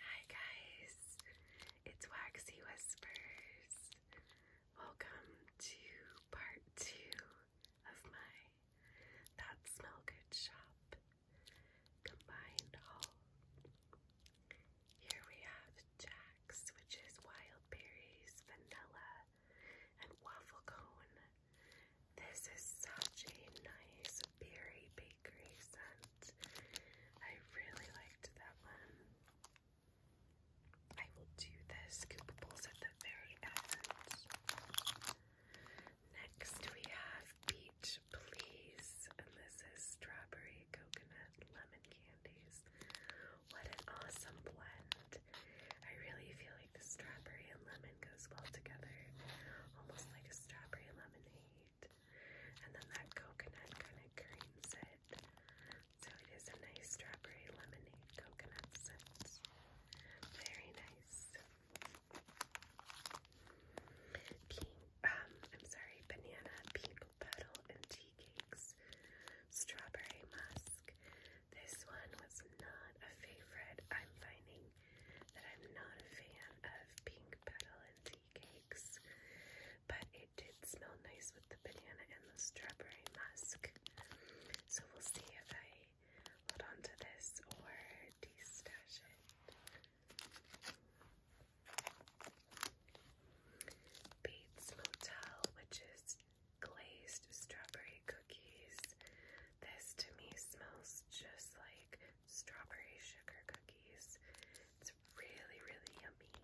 Hi guys, it's Waxy Whispers. Welcome to part two of my That Smell Good Shop combined haul. Here we have Jack's, which is wild berries, vanilla, and waffle cone. This is such a nice berry based I really liked that one. I will do the scoopables at the very end. Next we have Beach Please, and this is strawberry, coconut, lemon candies. What an awesome blend. I really feel like the strawberry and lemon goes well together. Almost like a strawberry lemon lemonade. And then that coconut kind of creams it. So it is a nice strawberry lemonade coconut scent. Very nice. Pink, um, I'm sorry, banana, pink petal, and tea cakes. Strawberry musk. This one was not a favorite. I'm finding that I'm not a fan of pink petal and tea cakes, but it did smell nice with the banana and the strawberry musk. So we'll see if I hold on to this or de-stash it. Bates Motel, which is glazed strawberry cookies. This to me smells just like strawberry sugar cookies. It's really, really yummy.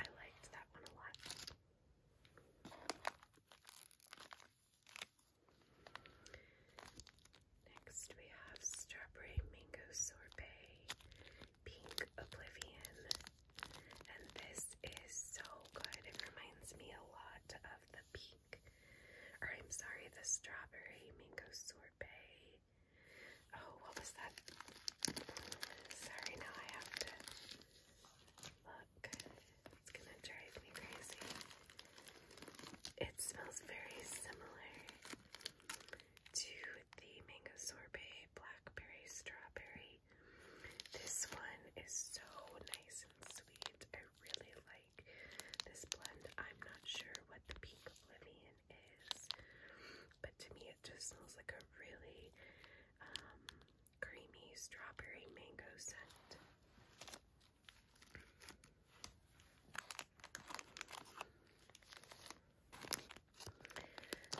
I liked that one a lot. Next, we have strawberry mango sorbet, pink oblivion, and this is so good. It reminds me a lot of the I'm sorry, the strawberry mango sorbet. Oh, what was that? Sorry, now I have to look. It's gonna drive me crazy. It smells very similar to the mango sorbet, blackberry, strawberry. This one is so nice and sweet. I really like this blend. I'm not sure what the Pink Oblivion is, but to me it just smells like a really um, creamy strawberry mango scent.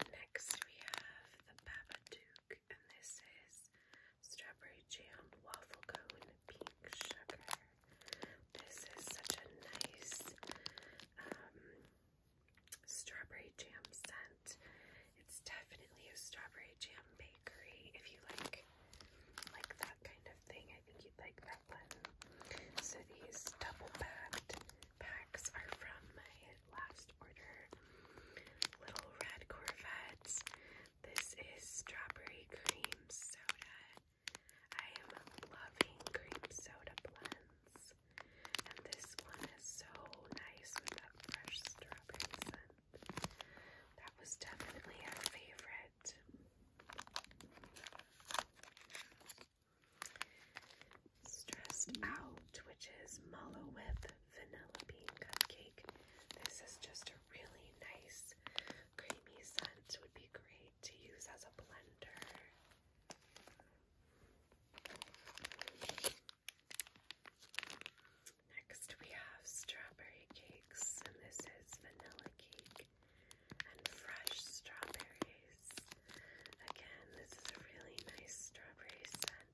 Next we have the Babadook and this is strawberry jam waffle cone pink sugar. This is such a nice um, strawberry jam scent. It's definitely a strawberry jam bakery. If you like like that kind of thing, I think you'd like that one. So these double packed packs are from my last order. Little red Corvettes. This is strawberry cream soda. I am loving cream soda blends. And this one is so nice with that fresh strawberry scent. That was definitely our favorite. Stressed Out, which is Mallow whip vanilla bean cupcake. This is just a really nice creamy scent. Would be great to use as a blender. Next we have strawberry cakes, and this is vanilla cake and fresh strawberries. Again, this is a really nice strawberry scent.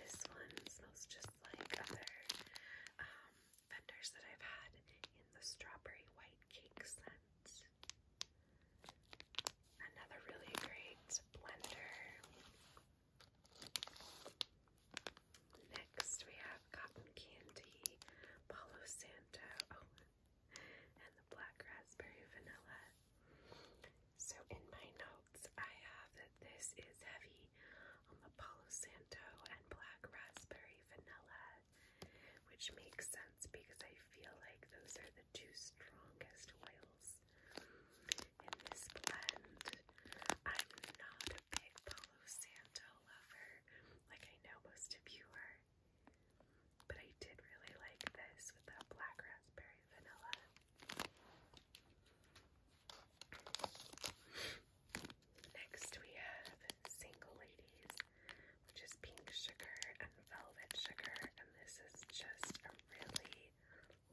This one smells just like other um, vendors that I've had in the strawberry white cake scent. Another really great blender. Next, we have Cotton Candy, Palo Santo, oh, and the Black Raspberry Vanilla. So in my notes, I have that this is heavy on the Palo Santo and black raspberry vanilla, which makes sense because I feel like those are the two strongest oils in this blend. I'm not a big Palo Santo lover, like I know most of you are, but I did really like this with that black raspberry vanilla. Next, we have Single Ladies, which is pink sugar and velvet sugar, and this is just a really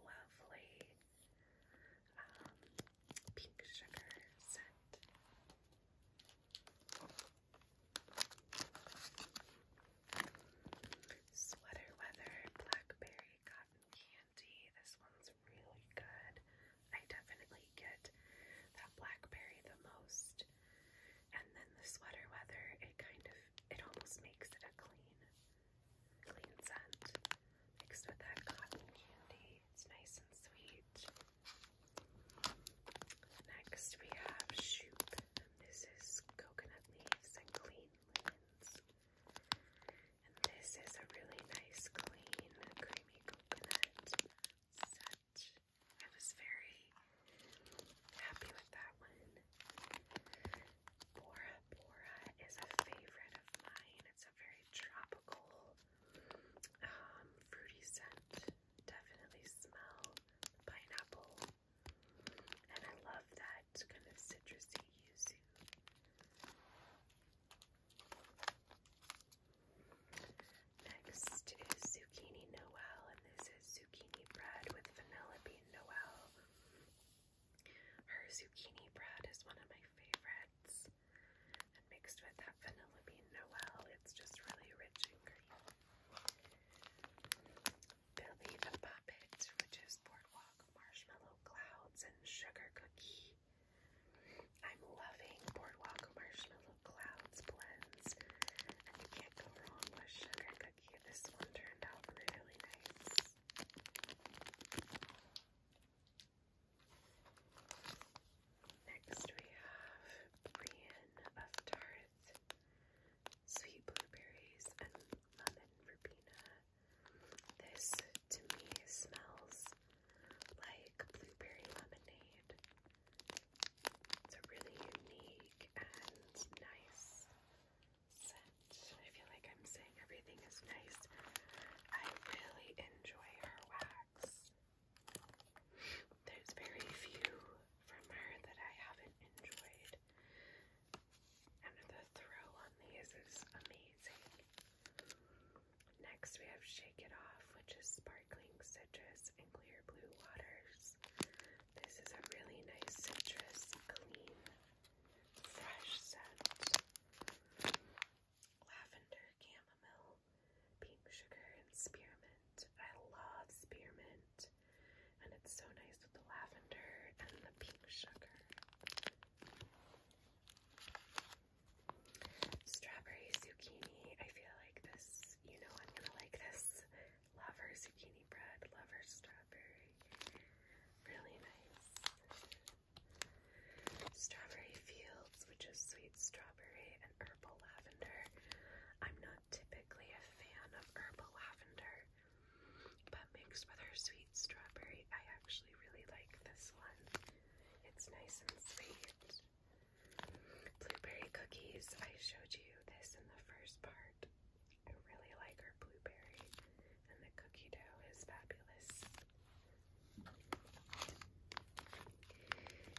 lovely um, pink sugar scent. Sweater Weather Blackberry Cotton Candy. This one's really good. I definitely get that blackberry the most. And then the Sweater Weather, it kind of, it almost makes it a clean, clean scent mixed with that cotton candy. It's nice and sweet. Next we have Shoop. This is coconut leaves and clean and this is a really nice, clean, creamy coconut set. I was very happy with that one. Bora Bora is a favorite of mine. It's a very tropical, um, fruity scent. Definitely smell pineapple and I love that kind of citrusy yuzu. Next is zucchini noel, and this is zucchini bread with vanilla bean noel. Her zucchini bread is one of my favorites, and mixed with that vanilla bean noel, it's just really rich and creamy. Billy the Puppet, which is Boardwalk Marshmallow Clouds and Sugar Cookie. I'm loving Boardwalk Marshmallow Clouds blends, you can't go wrong with Sugar Cookie. This one turned out really nice. Next we have Brienne of Tarth sweet blueberries, and lemon verbena. This, to me, smells like blueberry lemonade. It's a really unique and nice scent. I feel like I'm saying everything is nice. I really enjoy her wax. There's very few from her that I haven't enjoyed. And the throw on these is amazing. Next, we have Shake It Off, which is sparkling citrus and clear blue waters. This is a really nice citrus, clean, fresh scent. Lavender, chamomile, pink sugar, and spearmint. I love spearmint. And it's so nice with the lavender and the pink sugar. Strawberry zucchini. I feel like this, you know, I'm gonna like this. Lover zucchini bread, lover strawberry. Really nice. Strawberry fields, which is sweet strawberry and herbal lavender. I'm not not typically a fan of herbal lavender, but mixed with her sweet strawberry, I actually really like this one. It's nice and sweet. Blueberry cookies, I showed you this in the first part. I really like her blueberry, and the cookie dough is fabulous.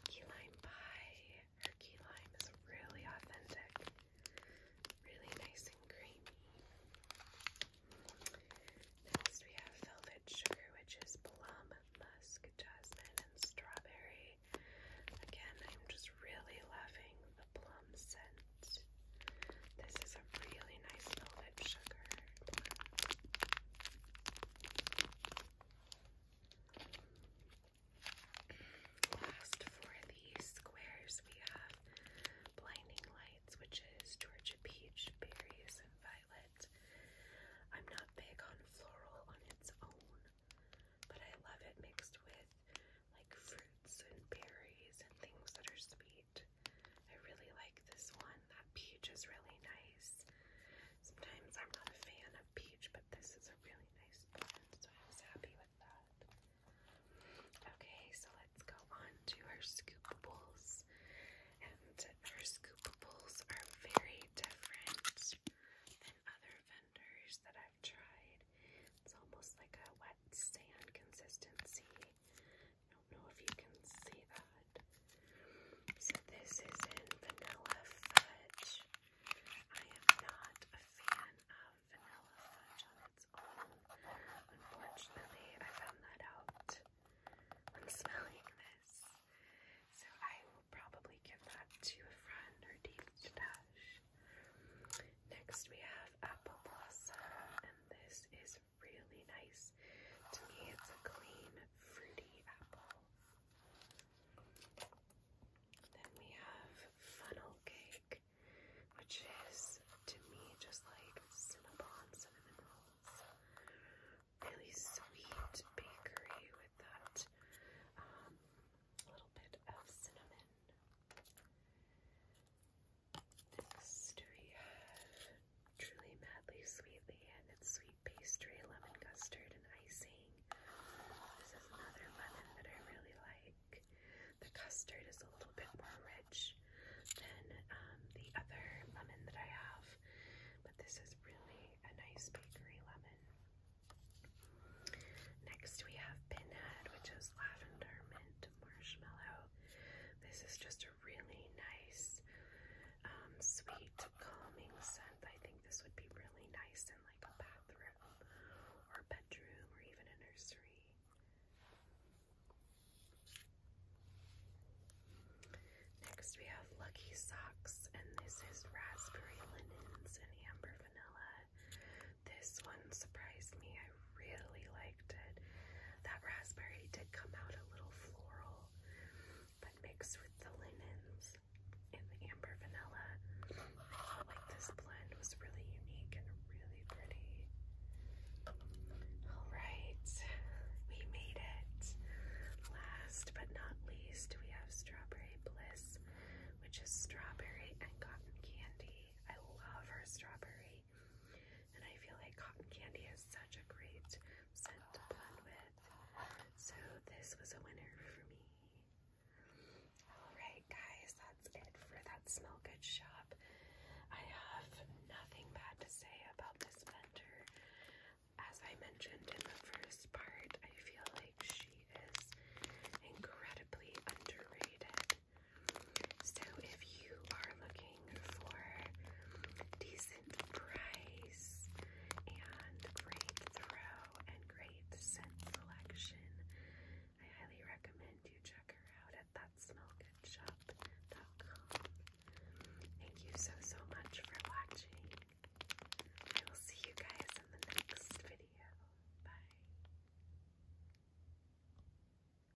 Key lime pie, Herky lime is really authentic, really nice and creamy. Next, we have Velvet Sugar, which is plum, musk, jasmine, and strawberry. Again, I'm just really loving the plum scent. This is a really nice velvet sugar. Last for the squares, we have Blinding Lights, which is Georgia peach, berries, and violet. I'm not big on floral on its own, but I love it mixed with like fruits and berries and things that are sweet. I really like this one. That peach is really nice. Sometimes I'm not a fan of peach, but this is a really nice blend, so I was happy with that. Okay, so let's go on to our scoopables. And our scoopables are very different than other vendors that I've tried. It's almost like a wet sand consistency. I don't know if you can see that. So this is in vanilla fudge. I am not a fan of vanilla fudge on its own. Unfortunately, I found that out I'm smelling this. So I will probably give that to a friend or deep to dash. Next we have apple blossom and this is really nice. To me it's a clean fruity apple. Then we have funnel cake, which is to me just like Cinnabon cinnamon rolls. Really sweet bakery with that um, little bit of cinnamon. Next we have Truly Madly Sweetly, and it's sweet pastry, lemon custard, and icing. This is another lemon that I really like. The custard is a little bit more rich than um, the other lemon that I have, but this is really a nice bakery lemon. Next, we have Pinhead, which is lavender, mint, marshmallow. This is just a really nice, um, sweet, calming scent. I think this would be really nice in like a bathroom or bedroom or even a nursery. Next we have Lucky Socks, and this is raspberry linens and amber vanilla. This one surprised me. I really like that raspberry did come out a little floral, but mixed with the linens and the amber vanilla. I felt like this blend was really unique and really pretty. All right, we made it. Last but not least, we have Strawberry Bliss, which is strawberry and cotton candy. I love her strawberry candy. And I feel like cotton candy is such a great scent to blend with. So this was a winner for me. Alright guys, that's it for that smell good shop. I have nothing bad to say about this vendor. As I mentioned in the first part, I feel like she is incredibly underrated. So if you are looking for decent price and great throw and great scent selection, I highly recommend you check her out at thatsmellgoodshop.com. Thank you so, so much for watching. I will see you guys in the next video. Bye.